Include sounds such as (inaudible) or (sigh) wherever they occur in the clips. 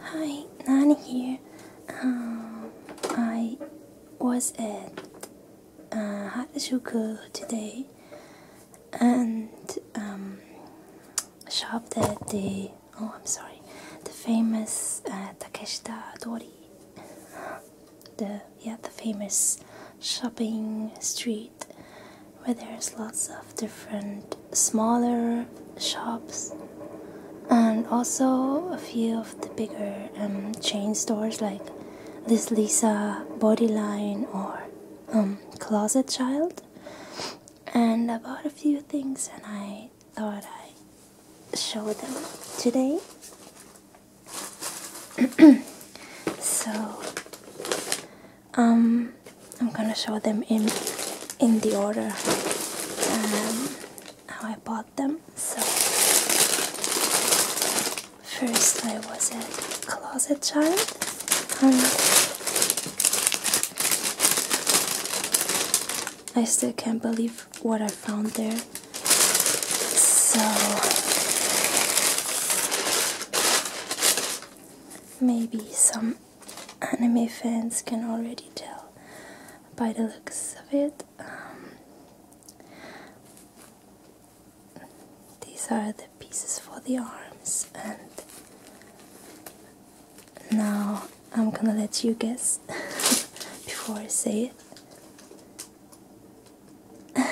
Hi, Nani here. Um, I was at uh, Harajuku today and um, shopped at the oh, I'm sorry, the famous uh, Takeshita Dori, the yeah, the famous shopping street where there's lots of different smaller shops and also a few of the bigger um, chain stores like this Lisa Bodyline or um, Closet Child and I bought a few things and I thought I show them today (clears throat) so um I'm gonna show them in in the order um, how I bought them. So first I was at closet child. I still can't believe what I found there. So maybe some anime fans can already tell by the looks of it. Um, these are the pieces for the arms, and now I'm gonna let you guess (laughs) before I say it. (laughs) I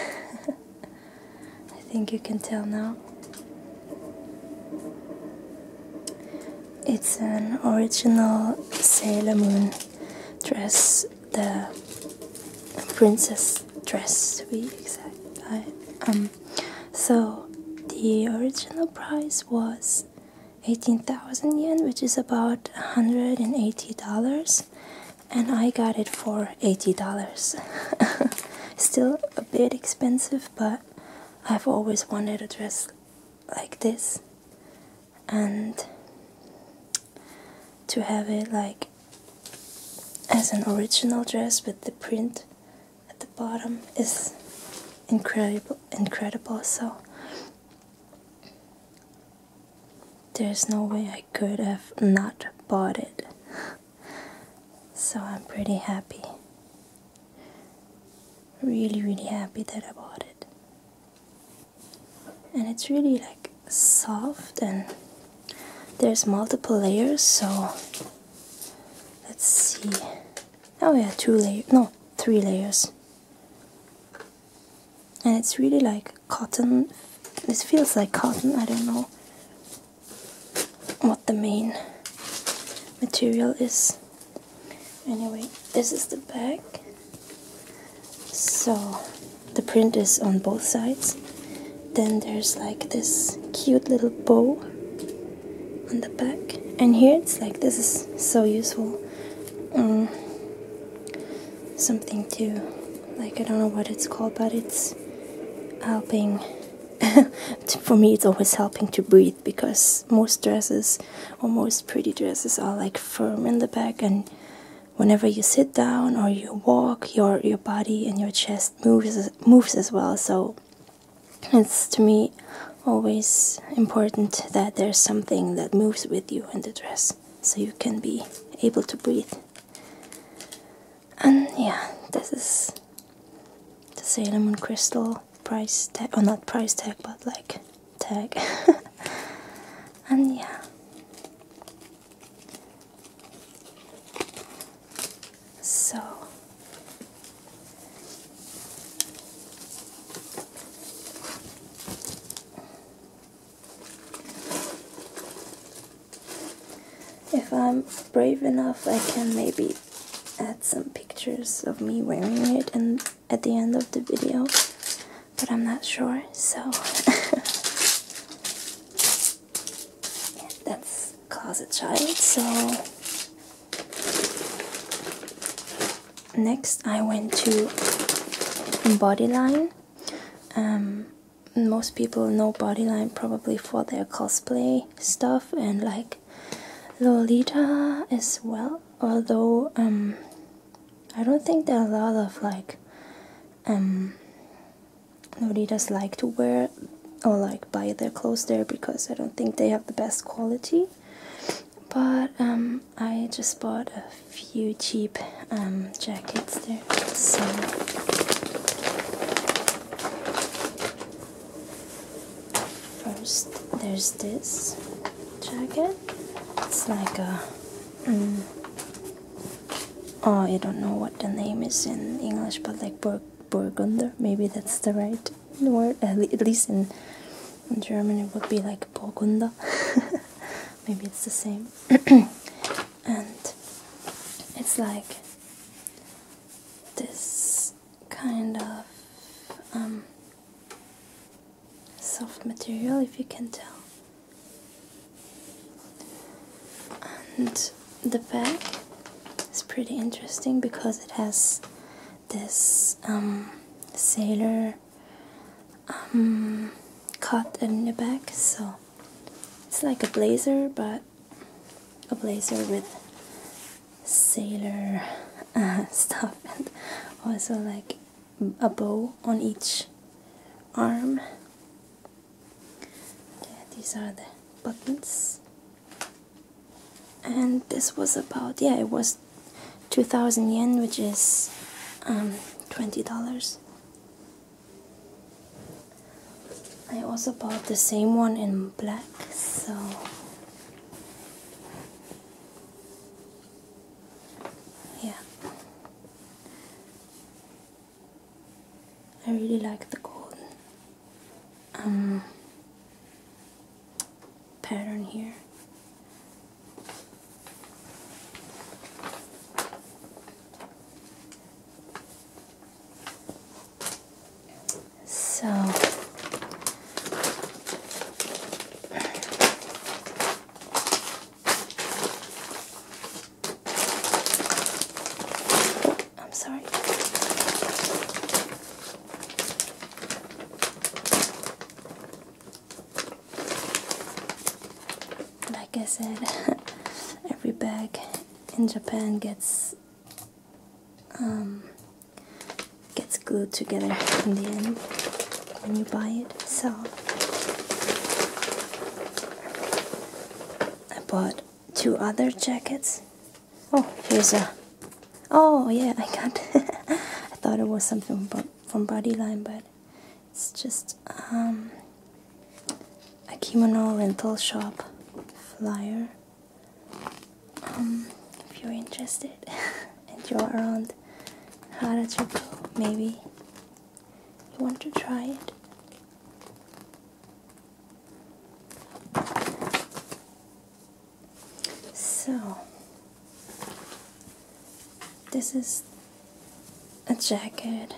think you can tell now. It's an original Sailor Moon dress, the princess dress to be exact. Um, so the original price was 18,000 yen, which is about $180, and I got it for $80. (laughs) Still a bit expensive, but I've always wanted a dress like this and to have it like as an original dress with the print at the bottom is incredible incredible so there's no way I could have not bought it so I'm pretty happy really really happy that I bought it and it's really like soft and there's multiple layers so let's see oh yeah two layers no three layers and it's really like cotton this feels like cotton I don't know what the main material is. Anyway, this is the back. So the print is on both sides. Then there's like this cute little bow on the back. And here it's like this is so useful. Um, something to like I don't know what it's called but it's helping (laughs) for me, it's always helping to breathe because most dresses or most pretty dresses are like firm in the back, and whenever you sit down or you walk, your your body and your chest moves moves as well. So it's to me always important that there's something that moves with you in the dress, so you can be able to breathe. And yeah, this is the Salem Moon crystal price tag or not price tag but like tag (laughs) and yeah so if I'm brave enough, I can maybe add some pictures of me wearing it and at the end of the video, but I'm not sure, so (laughs) that's Closet Child, so next I went to Bodyline um, most people know Bodyline probably for their cosplay stuff and like Lolita as well, although um, I don't think there are a lot of like um, Lolitas like to wear or like buy their clothes there because I don't think they have the best quality. But um, I just bought a few cheap jackets there, so First, there's this jacket. It's like a. Mm, oh, I don't know what the name is in English, but like bur burgunder, maybe that's the right word. At least in, in German, it would be like burgunder. (laughs) maybe it's the same. (clears throat) and it's like this kind of um, soft material, if you can tell. And the back is pretty interesting because it has this um, sailor um, cut in the back, so it's like a blazer, but a blazer with sailor uh, (laughs) stuff and also like a bow on each arm. Okay, these are the buttons. And this was about, yeah, it was 2000 yen, which is um, $20. I also bought the same one in black, so yeah. I really like the gold um, pattern here. So I'm sorry. Like I said, (laughs) every bag in Japan gets um, gets glued together in the end when you buy it. So I bought two other jackets. Oh, here's a. Oh yeah, I got. (laughs) I thought it was something from Bodyline, but it's just um, a kimono rental shop flyer. Um, if you're interested (laughs) and you're around Harajuku, maybe you want to try it. So, this is a jacket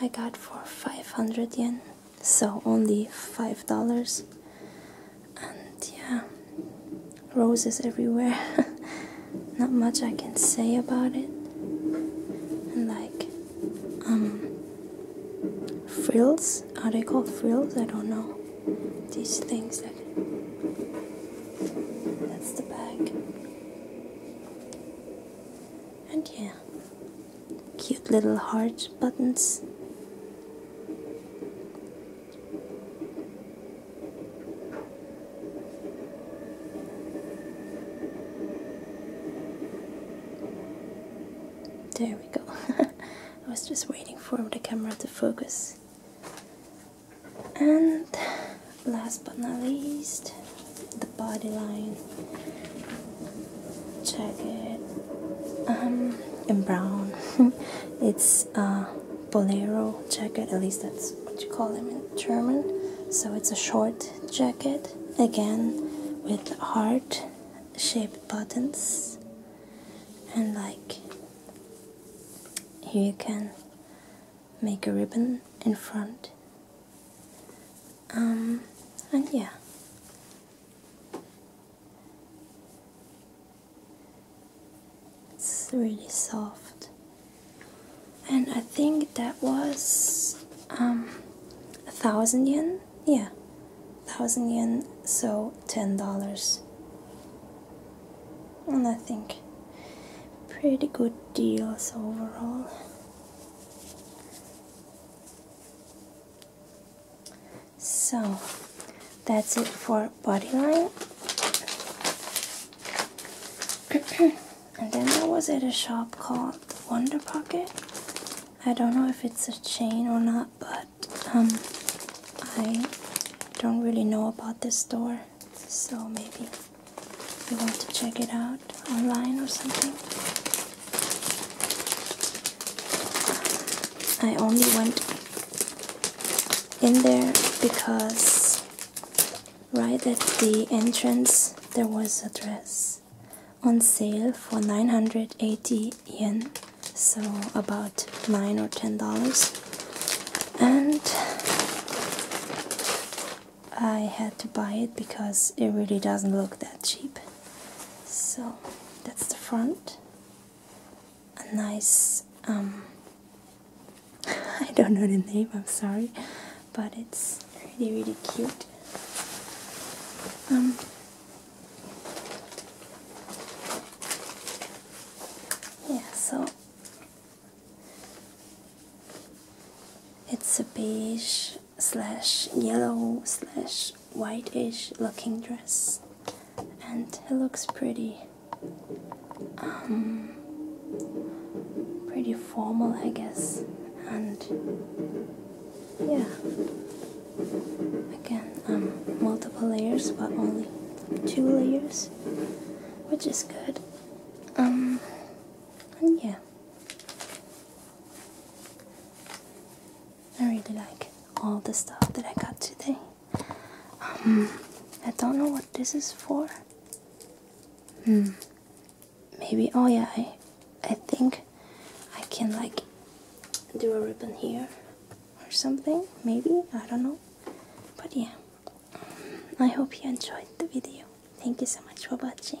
I got for 500 yen so only five dollars and yeah roses everywhere (laughs) not much I can say about it and like um frills are they called frills I don't know these things that's the bag and yeah cute little heart buttons. There we go. (laughs) I was just waiting for the camera to focus. And last but not least, the body line check um in brown (laughs) it's a uh, bolero jacket at least that's what you call them in german so it's a short jacket again with heart shaped buttons and like here you can make a ribbon in front um and yeah it's really soft. And I think that was um, a thousand yen. Yeah, thousand yen, so ten dollars. And I think pretty good deals overall. So that's it for body (clears throat) and then I was at a shop called Wonder Pocket. I don't know if it's a chain or not, but um, I don't really know about this store, so maybe you want to check it out online or something. I only went in there because right at the entrance there was a dress on sale for 980 yen so about 9 or 10 dollars and I had to buy it because it really doesn't look that cheap so that's the front. A nice, um, (laughs) I don't know the name, I'm sorry, but it's really, really cute. Um, yeah, so it's a beige slash yellow slash whitish looking dress and it looks pretty um, pretty formal I guess and yeah again um, multiple layers but only two layers which is good um and yeah I really like all the stuff that I got today. Um, I don't know what this is for. Hmm. Maybe. Oh yeah. I, I think I can like do a ribbon here or something. Maybe. I don't know. But yeah. Um, I hope you enjoyed the video. Thank you so much for watching.